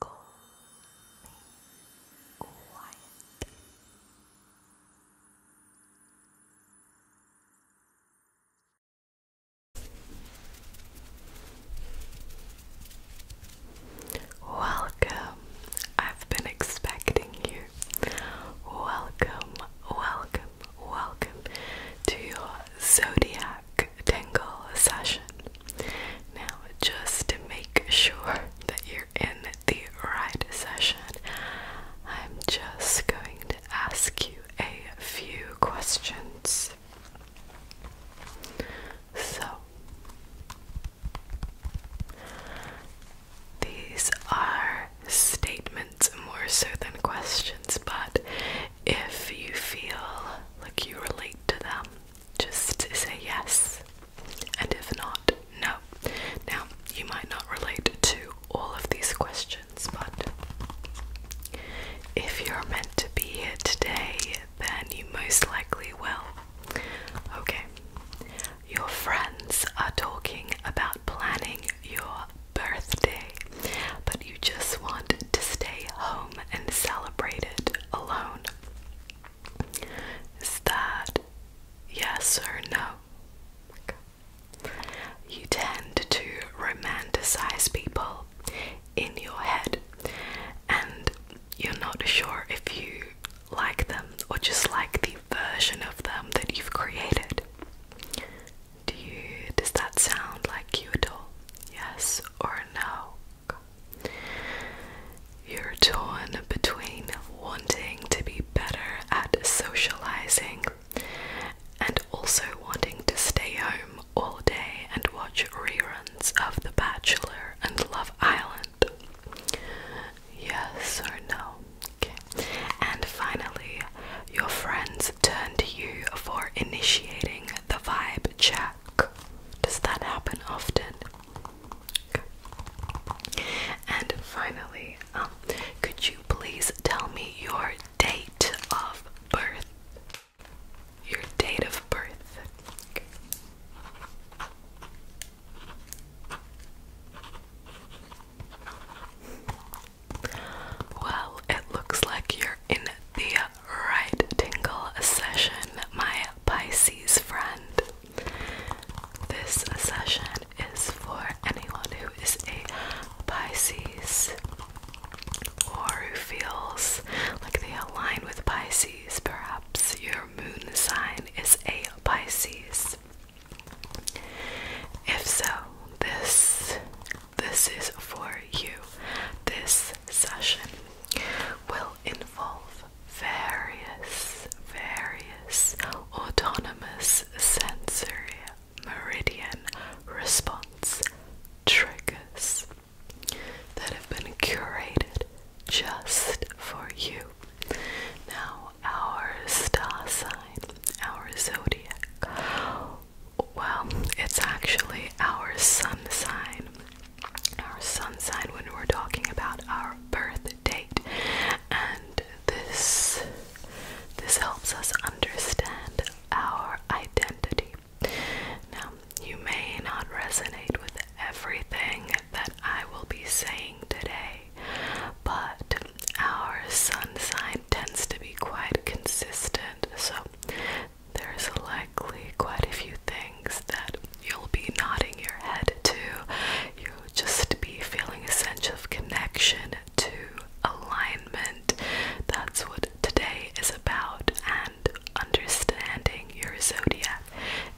Go quiet. Welcome. I've been expecting you. Welcome, welcome, welcome to your zodiac tingle session. Now, just to make sure that you're in the right session, I'm just going to ask you a few questions. So, these are statements more so than questions, but if you feel like you relate to them, just say yes, and if not, no. Now, you might not relate to all of these questions, but if you're meant to be here today, then you most likely will. Okay, your friends are talking about planning your birthday, but you just want to stay home and celebrate it alone. Is that yes or no? You tend to romanticize people in your head, and you're not sure if you like them or just like the version of them that you've created. Do you, does that sound like you at all? Yes or no? You're torn between wanting to be better at socializing and also wanting to stay home all day and watch reruns of The Bachelor and Love Island. Yes or no? And finally, your friends turn to you for initiating the vibe check. Does that happen often? And finally, um, could you please tell me your date of birth? Your date of birth. Well, it looks like you're in the uh, right tingle session, my Pisces friend. This session is for anyone who is a Pisces or who feels like they align with Pisces. Perhaps your moon sign is a Pisces. If so, this this is for you. This session will involve various, various autonomous sensory meridian response triggers that have been curated just for you. Now, our star sign, our zodiac, well, it's actually our sun sign our sun sign when we're talking about our birth date and this this helps us understand our identity. Now, you may not resonate with everything that I will be saying today, but our sun sign tends to be quite consistent. So, there's likely quite a few things that you'll be nodding your head to. You'll just be feeling a sense of connection to alignment. That's what today is about, and understanding your zodiac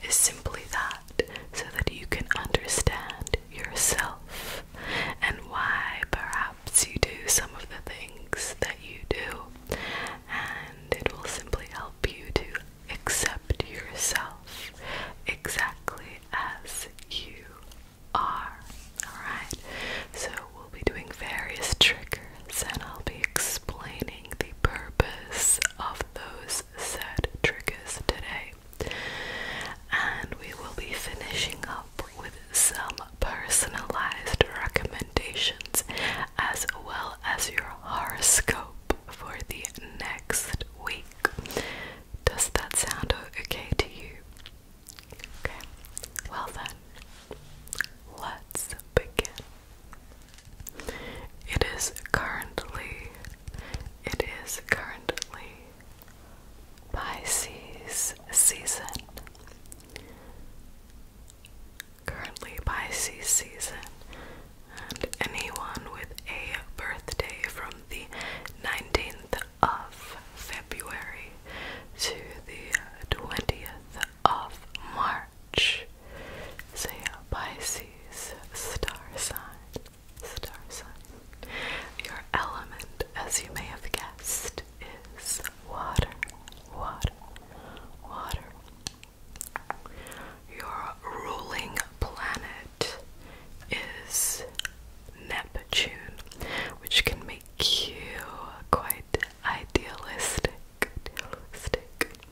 is simply that, so that you can understand yourself and why perhaps you do some of the things that you do, and it will simply help help you to accept yourself exactly as you are. Alright, so we'll be doing various triggers and I'll be explaining the purpose of those said triggers today. And we will be finishing up with some personalized recommendations as well as your horoscope for the next week. Does that sound okay to you? Okay, well then, let's begin. It is currently, it is currently Pisces season currently Pisces season, and anyone with a birthday from the 19th of February to the 20th of March is Pisces star sign. Star sign. Your element, as you may have guessed, is water. Water. Water. Your ruling planet is Neptune, which can make you quite idealistic.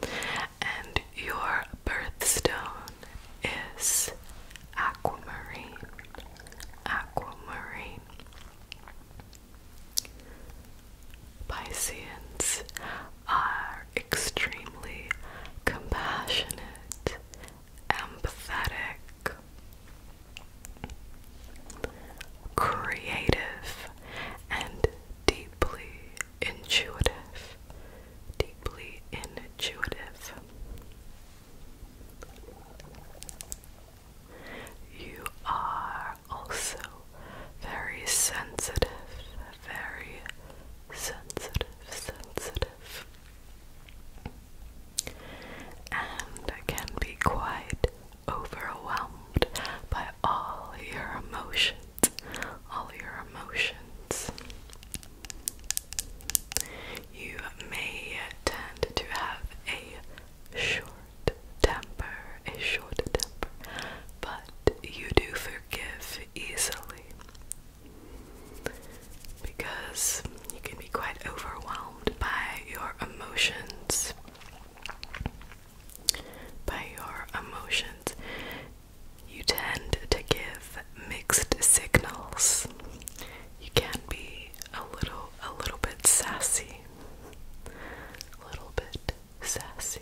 And your birthstone is aquamarine. Aquamarine. Pisceans are extremely compassionate, empathetic, creative, and deeply intuitive. Deeply intuitive. You are also very sensitive, very sensitive, sensitive, and can be quite overwhelmed by all your emotions. All your emotions. You may tend to have a short temper, a short temper, but you do forgive easily because you can be quite overwhelmed by your emotions. By your emotions, you tend to give mixed signals. You can be a little, a little bit sassy, a little bit sassy.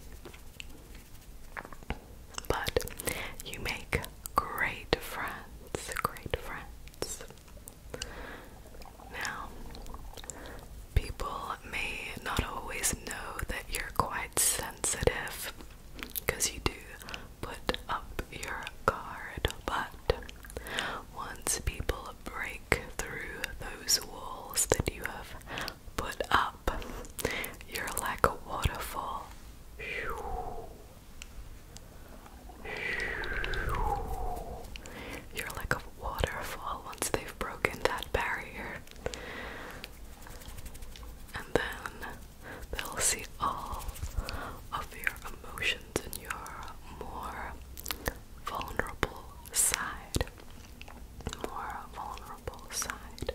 But you make great friends, great friends. Now, people may not always know that you're quite sensitive because you do put up your guard, but once people break through those walls that you have put up. You're like a waterfall. You're like a waterfall once they've broken that barrier. And then they'll see all of your emotions and your more vulnerable side more vulnerable side.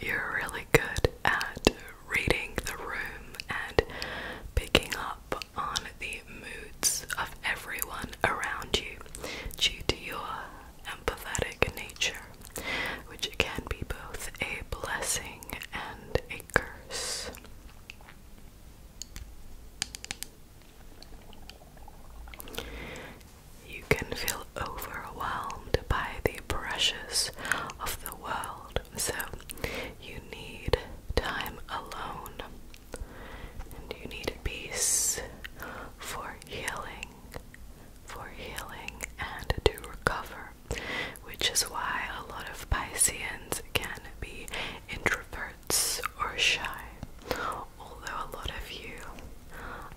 You're really good at reading the room and picking up on the moods of everyone around you due to your empathetic nature, which can be both a blessing and a curse. You can feel overwhelmed by the pressures of the world, so you need time alone and you need peace for healing for healing and to recover, which is why a lot of Pisceans can be introverts or shy. Although a lot of you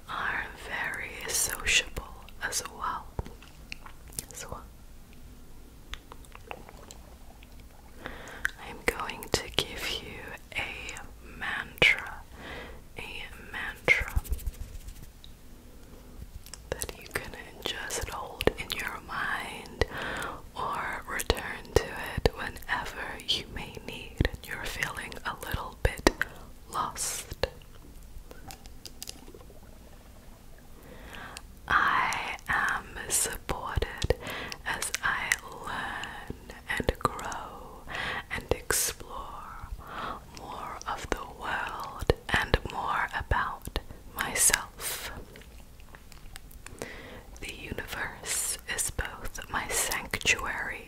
are very sociable as well. As I'm going to give you a mantra. A mantra that you can just hold in your mind or return to it whenever you may need you're feeling a little bit lost. I am supported as I learn and grow and explore more of the world and more about myself. The universe is both my sanctuary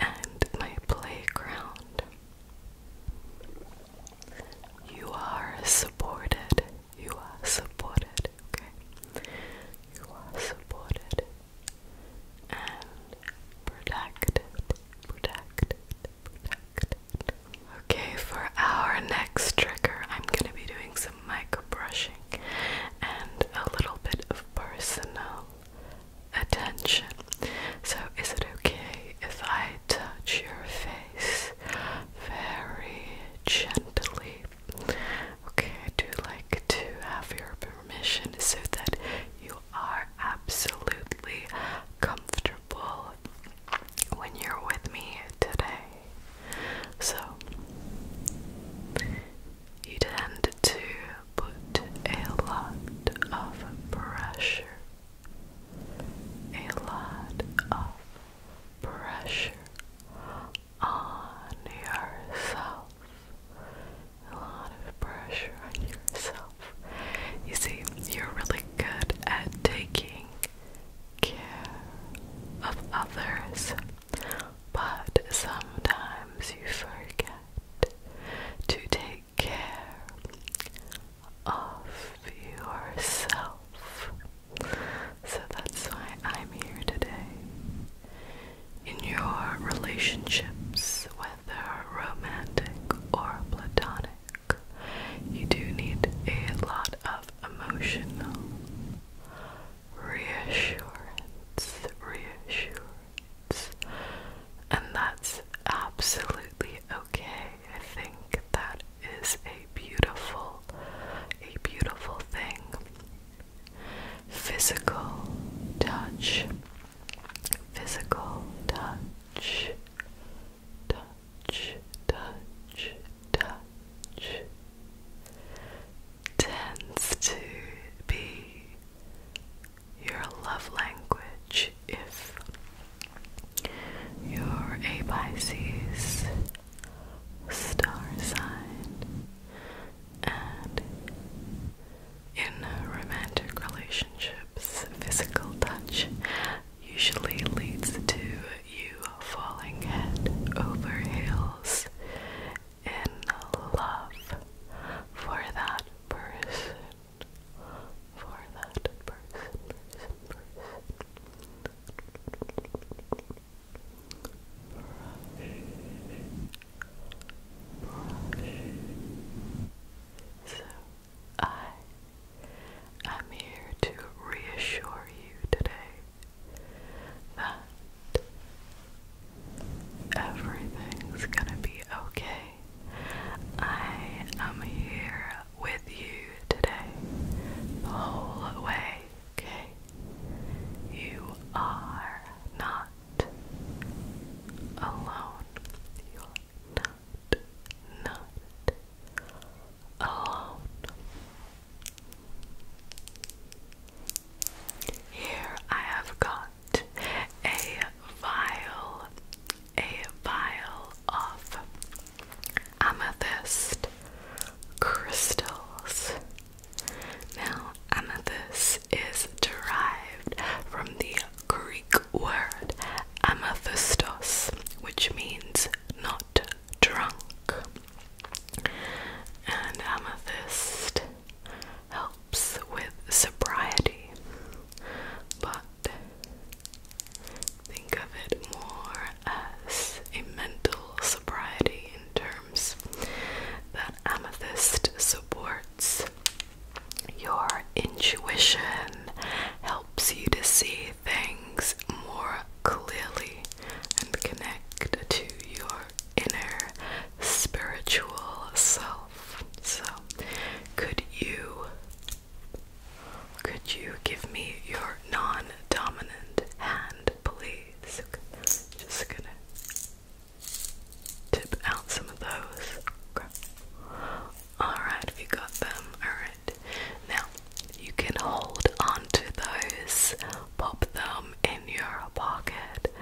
and my playground. You are supported. You are supported. Okay? You are supported and protected. Okay, for our next trigger, I'm gonna be doing some micro brushing and a little bit of personal attention. So, is it okay if I touch your face very gently? Okay, I do like to have your permission so that you are absolutely comfortable when you're with me today. So, you tend to put a lot of pressure, a lot of pressure on yourself a lot of pressure on yourself. You see, you're really good at taking care of others, but sometimes you forget to take care of yourself. So that's why I'm here today. In your relationships with whether romantic or platonic, you do need a lot of emotional reassurance, reassurance. And that's absolutely okay. I think that is a beautiful, a beautiful thing. Physical touch physical touch, touch, touch, touch, tends to be your love language if you're a Pisces star sign and in uh, romantic relationships, physical touch usually leads to you falling head over heels in love for that person. For that person, person, person. So I am here to reassure you today that everything's gonna be okay. I am here with you today, the whole way, okay? You are not alone. You are not, not alone. Here I have got a vial, a vial of amethyst crystals. Now, amethyst is derived from the Greek word amethystos, which means not drunk. And amethyst helps with sobriety, but think of it more as a mental sobriety in terms that amethyst supports your intuition helps you to see things more clearly and connect to your inner spiritual self. So, could you could you give me your non-dominant hand, please? Just gonna tip out some of those. Alright, you got them, alright. Now, you can hold onto those, pop them in your pocket,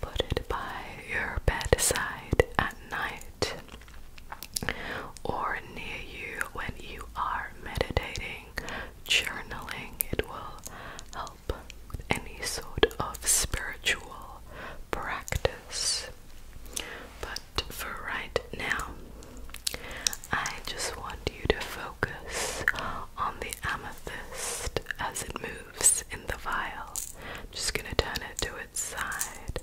put it by your bedside at night or near you when you are meditating, journaling. It will help with any sort of spiritual practice. But for right now, I just want you to focus on the amethyst as it moves in the vial. I'm just gonna turn it to its side.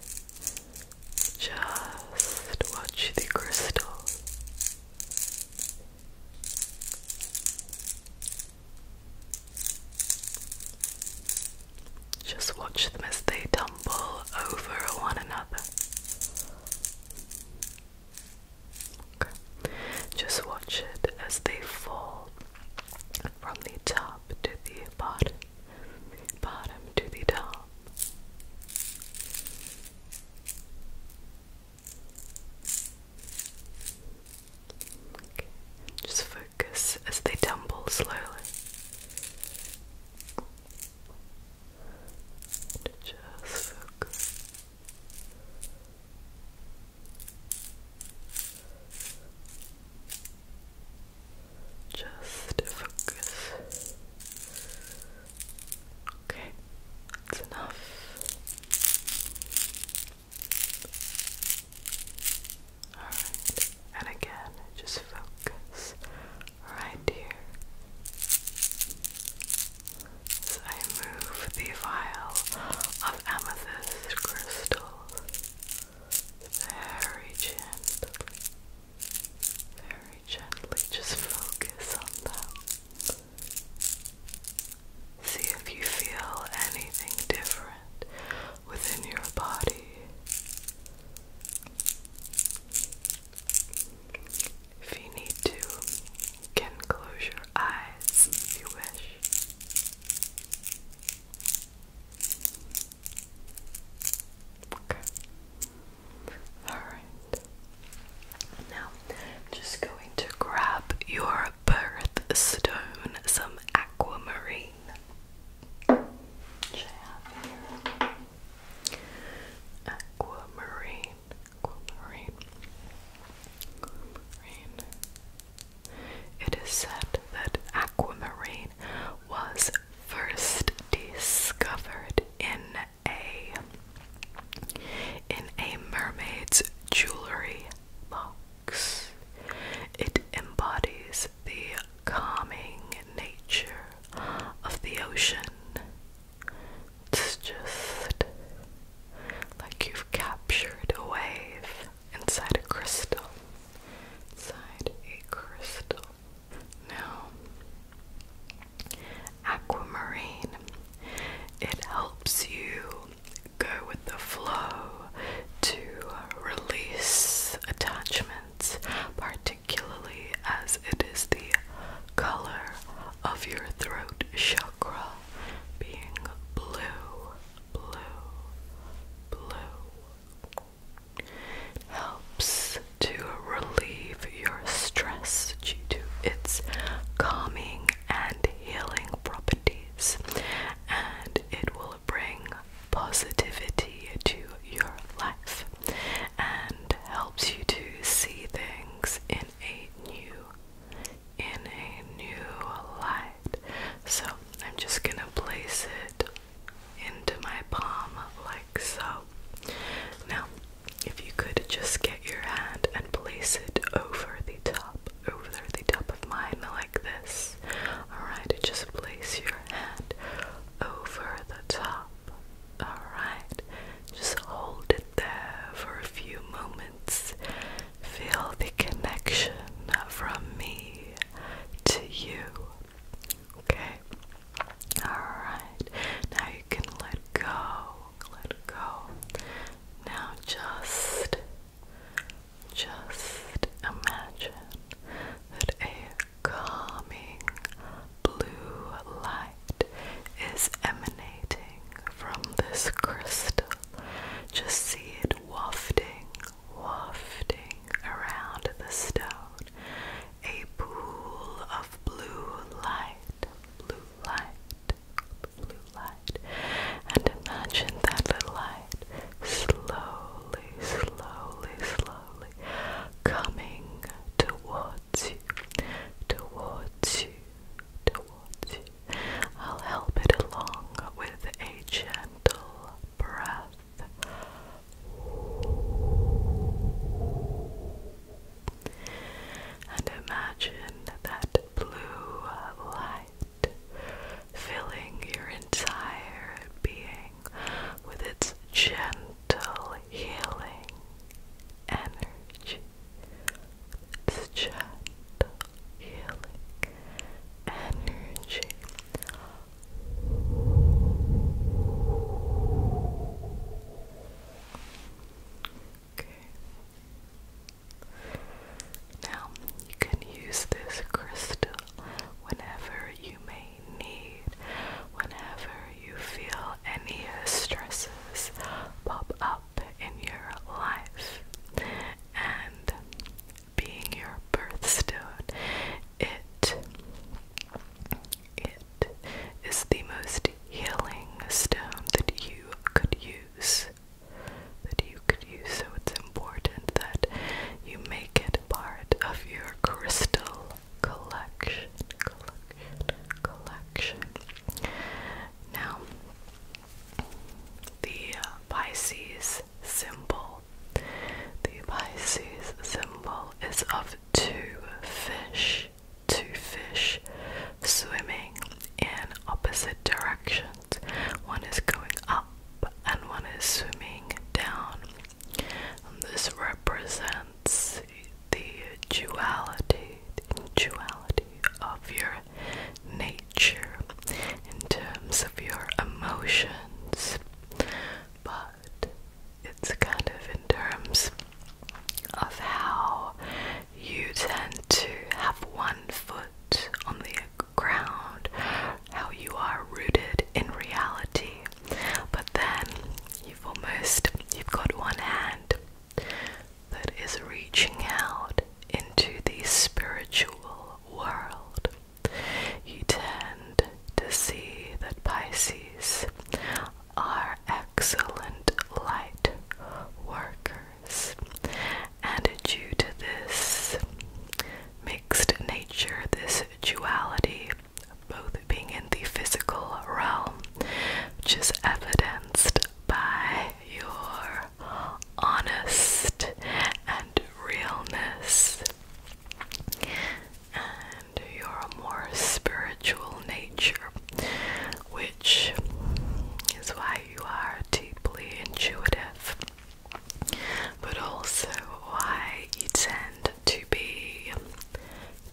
Just watch the crystal. Just watch them as they tumble over one another. Just watch it as they fall from the top to the bottom, bottom to the top. Just focus as they tumble slowly just focus just focus okay, that's enough and again, just focus right here. As I move the vial of amethyst crystals very gently, very gently, just focus on that. See if you feel anything different within your body. If you need to, can close your eyes if you wish. Okay. Alright. Now, I'm just going to grab your birth stone, some aquamarine. Which Aquamarine. Aquamarine. Aquamarine. It is said that aquamarine was first discovered in a in a mermaid's jewelry box. It embodies the calming nature of the ocean. It's just like you've captured a wave inside a crystal. Inside a crystal. Now, aquamarine. It helps you go with the flow to release attachment particularly as it is the color of your throat chakra being blue, blue, blue. helps to relieve your stress due to its calming and healing properties, and it will bring positivity to your life and helps you to see things in a new in a new light. So, I'm just going to place it into my palm like so. Now, if you could just get your hand and place it over the top, over the top of mine like this. Alright, just place your hand over the top. Alright, just hold it there for a few moments. Feel the connection from me to you. Okay? Alright, now you can let go. Let go. Now just, just imagine that a calming blue light is emanating from this crystal. Just see it wafting, wafting around the stone. A pool of blue light, blue light, blue light. And imagine that the light slowly, slowly, slowly coming towards you, towards you, towards you. I'll help it along with a gentle breath. And imagine that blue light filling your entire being with its gentle healing energy. its gentle healing energy. Okay. Now, you can use this crystal whenever you may need. Whenever you feel any stresses pop up in your life, and being your birthstone, it it is the most healing stone that you could use. That you could use, so it's important that you make it part of your crystal collection. Now, the uh, Pisces symbol. The Pisces symbol is of two fish, two fish swimming in opposite directions. One is going up and one is swimming down this represents the duality, the duality of your nature in terms of your emotions, but it's kind of in terms of how you tend to have one foot on the ground how you are rooted in reality. But then you've almost you've got one hand that is reaching out into the spiritual world. You tend to see that Pisces are excellent light workers, and due to this mixed nature, this duality, both being in the physical realm, which is evidenced by your honest and realness and your more spiritual nature, which is why you are deeply intuitive but also why you tend to be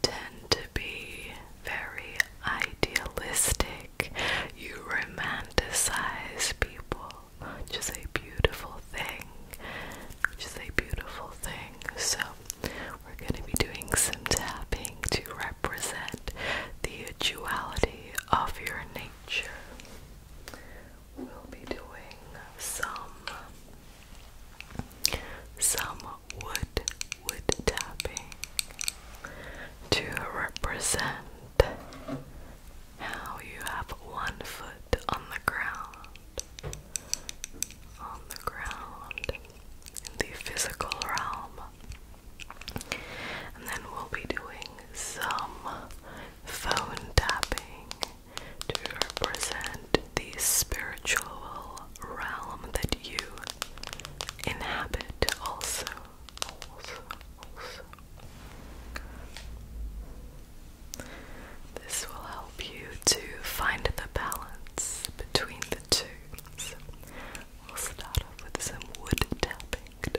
tend to be very idealistic. You romanticize people, which is a beautiful thing. Which is a beautiful thing. So we're gonna be doing some tapping to represent the duality of your nature. We'll be doing some some wood wood tapping to represent how you have one foot on the ground on the ground in the physical realm and then we'll be doing some phone tapping to represent the spiritual realm that you inhabit also. This will help you to find the balance between the two. we'll start off with some wood tapping.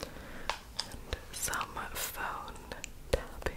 and some phone tapping.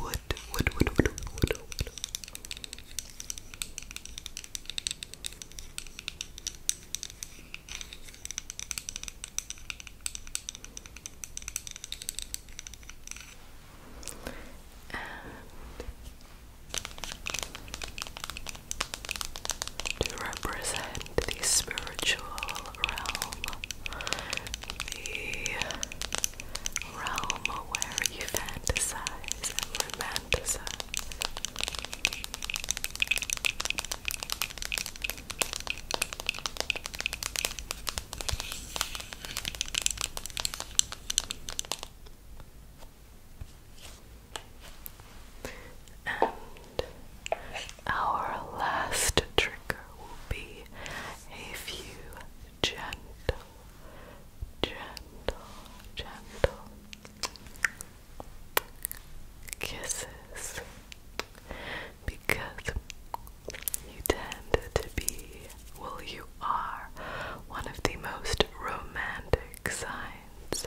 Wood, wood, wood, wood, wood, wood. And to represent the spiritual realm, the realm where you fantasize and romanticize our last trigger will be a few gentle, gentle, gentle kisses because you tend to be, well, you are one of the most romantic signs.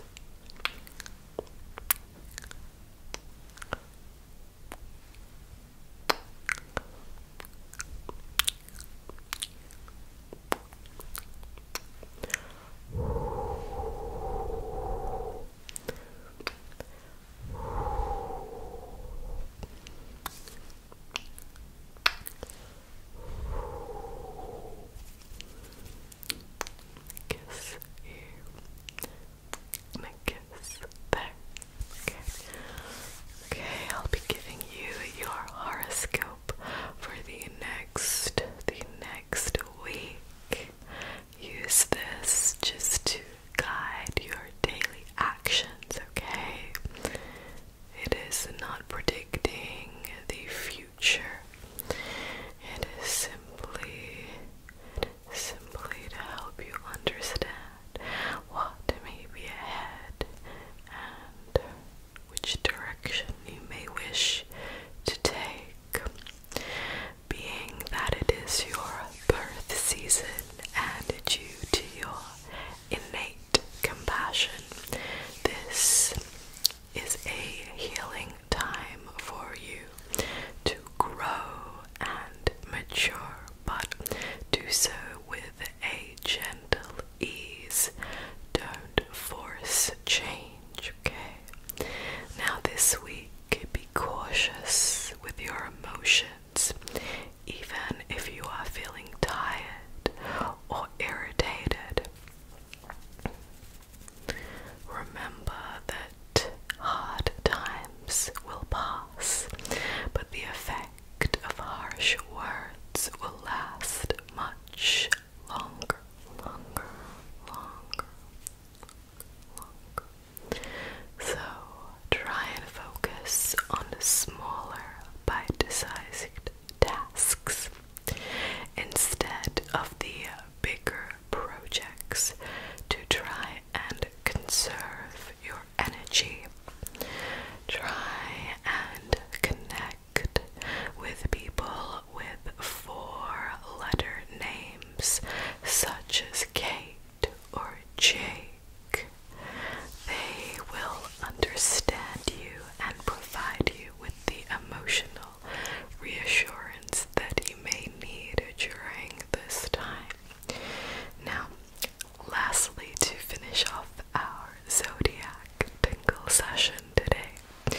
Kiss you and kiss there. Okay. Okay, I'll be giving you your horoscope for the next the next week. Use this just to guide your daily actions, okay? It is not predicting the future. It is simply simply to help you understand what may be ahead and which direction you may wish to take. Being that it is your birth season and due to your innate compassion, this is a healing time for you to grow and mature, but do so with a gentle ease. Don't force change, okay? Now, this week, be cautious with your emotions, even if you are feeling tired or irritated. Remember that hard times will pass, but the effect of harsh words will last much longer, longer, longer, So try and focus on the smaller, bite-sized tasks instead of the bigger projects to try and conserve your energy. Try and connect with people with four letter names, such as Kate or Jake. They will understand you and provide you with the emotional reassurance that you may need during this time. Now, lastly, to finish off our zodiac tingle session today,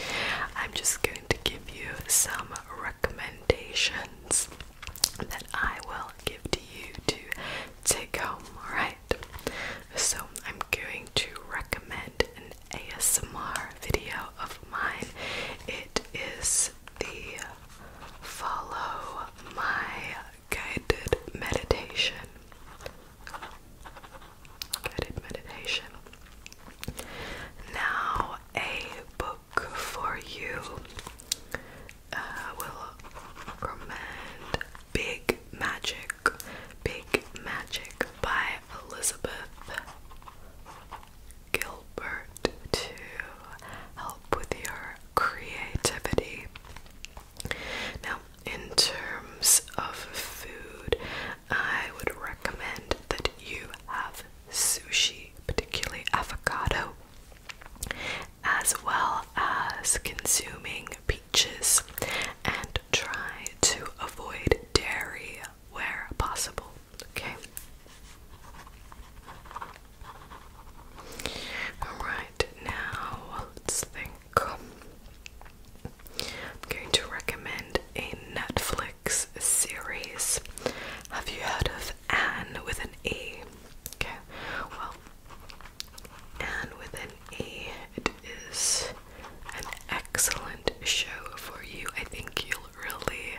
I'm just going to give you some recommendations that I will give to you to take home, alright? So, I'm going to recommend an ASMR video of mine. It is the follow my guided meditation. Guided meditation. Now, a book for you. Uh, will recommend Big Magic. Big Magic by Elizabeth Gilbert to help with your creativity. Now, in terms of food, I would recommend that you have sushi, particularly avocado, as well as consuming peaches, and try to avoid dairy where possible. Okay, Alright, now let's think. I'm going to recommend a Netflix series. Have you heard of Anne with an E? Okay, well, Anne with an E, it is an excellent show for you. I think you'll really,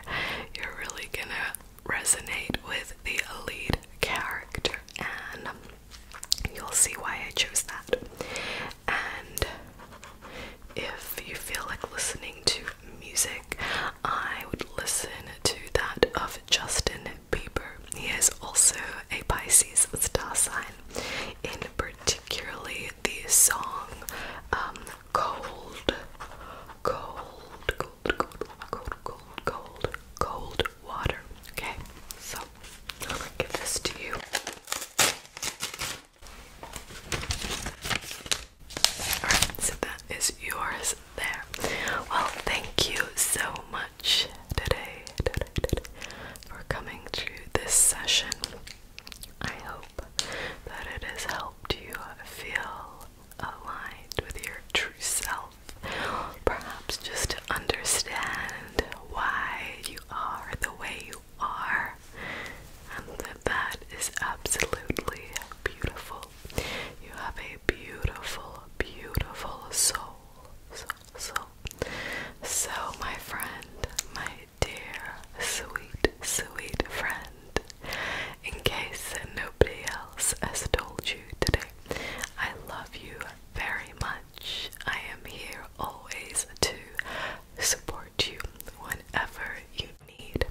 you're really gonna resonate with the lead character, and you'll see why I chose that. And if you feel like listening to music, I would listen to that of Justin Bieber. He is also a Pisces star sign, in particularly the song um, Cold, Cold, Cold, cold, cold, cold, cold, cold, cold water. Okay, so I'm gonna give this to you. Alright, so that is yours there. Well, thank you so much today, today, today for coming to this session. I hope that it has helped you feel aligned with your true self. Perhaps just to understand why you are the way you are, and that that is absolutely beautiful. You have a beautiful, beautiful soul, soul, soul. So, my friend, my dear, sweet, sweet friend, in case nobody else has told you today. I love you very much. I am here always to support you whenever you need.